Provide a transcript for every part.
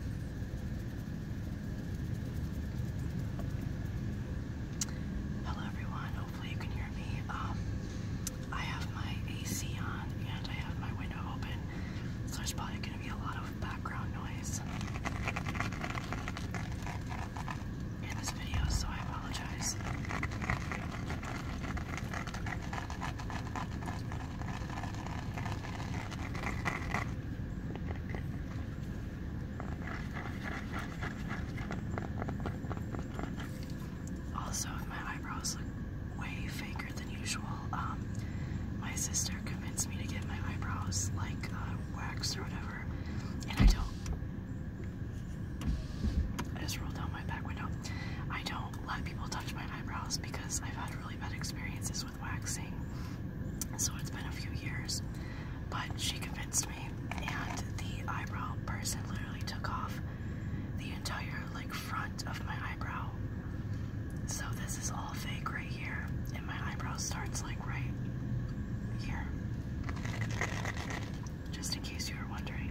Hello everyone, hopefully you can hear me. Um, I have my AC on and I have my window open, so there's probably going to be a lot of background noise in this video, so I apologize. Also, my eyebrows look way faker than usual, um, my sister convinced me to get my eyebrows like uh, waxed or whatever, and I don't. I just rolled down my back window. I don't let people touch my eyebrows because I've had really bad experiences waxing, so it's been a few years. But she convinced me, and the eyebrow person literally took off the entire like front of my eyebrow. So this is all fake right here, and my eyebrow starts like right here. Just in case you were wondering.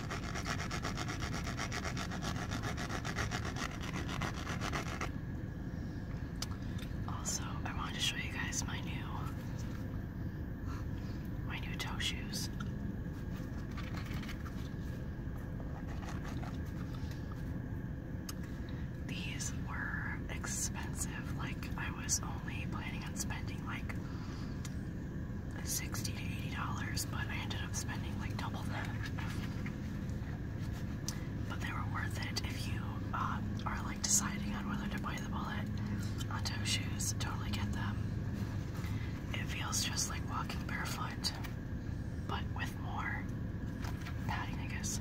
Also, I wanted to show you guys my new my new toe shoes. These were expensive. Like I was only planning on spending like sixty to eighty dollars, but I ended up spending like double that. But they were worth it if you um, are like deciding on whether to buy the bullet Onto shoes. Totally get them. It feels just like walking barefoot, but with more padding, I guess.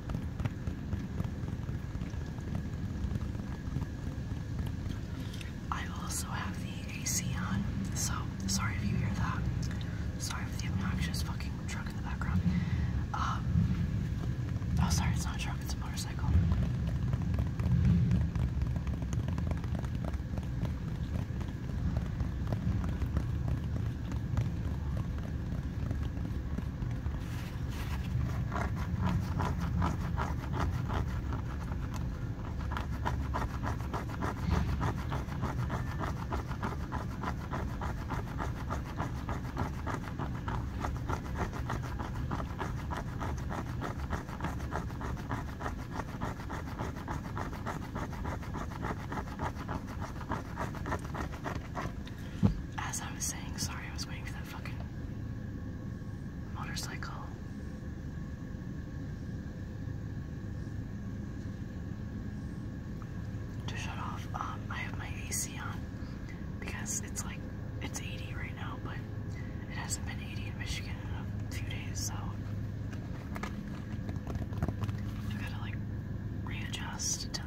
I also have the AC on, so sorry if you hear that. Sorry for the obnoxious fucking truck in the background. Um, oh, sorry, it's not a truck, it's a motorcycle. As I was saying, sorry I was waiting for that fucking motorcycle. To shut off, um, I have my AC on because it's like it's 80 right now, but it hasn't been 80 in Michigan in a few days, so I gotta like readjust to the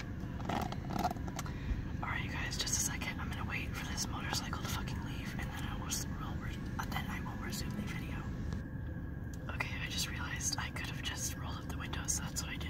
Alright, you guys, just a second. I'm gonna wait for this motorcycle to fucking leave and then I will, uh, resume the video. Okay, I just realized I could have just rolled up the window, that's what I did.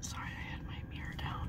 Sorry, I had my mirror down.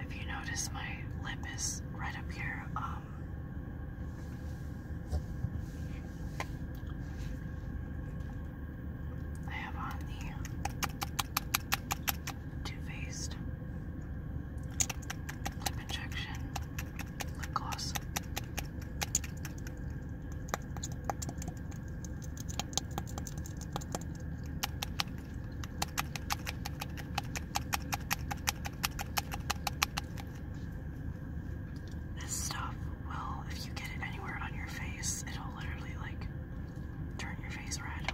If you notice, my lip is right up here. Um, I have on the Too Faced lip injection lip gloss. This stuff will, if you get it anywhere on your face, it'll literally like turn your face red.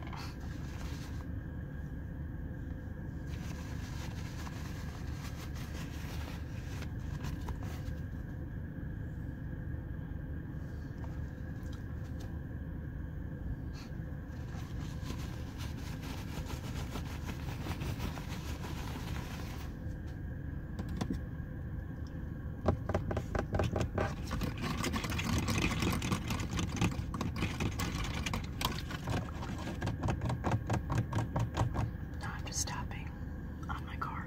Now I'm just tapping on my car.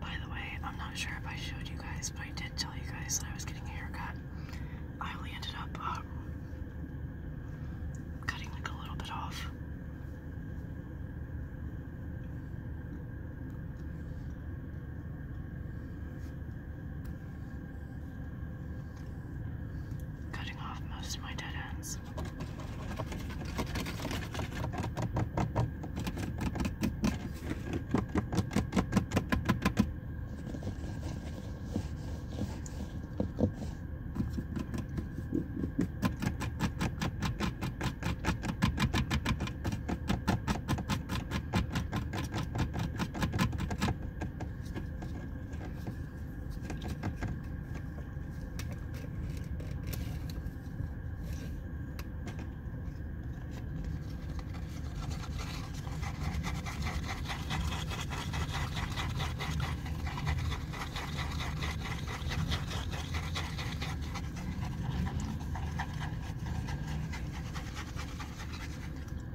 By the way, I'm not sure if I showed you guys, but I did tell you guys that I was getting a haircut. I only ended up um, cutting like a little bit off cutting off most of my dead ends.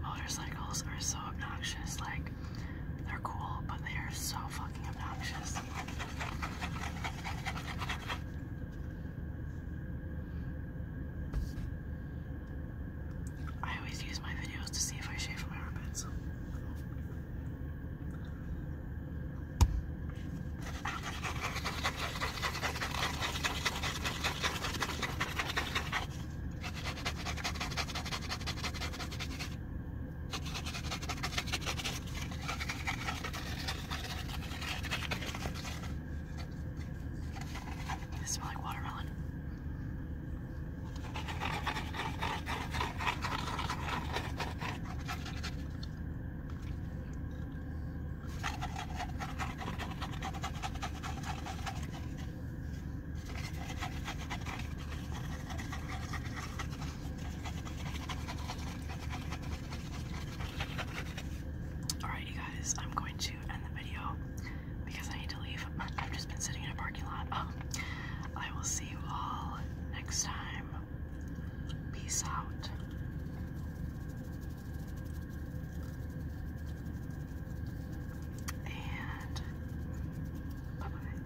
Motorcycles are so obnoxious, like they're cool, but they are so fucking obnoxious. I always use my videos to see if I shave my armpits. They smell like watermelon. Alright, you guys, I'm going to end the video because I need to leave. I've just been sitting in a parking lot. Oh, I will see you all next time. Peace out. And bye bye.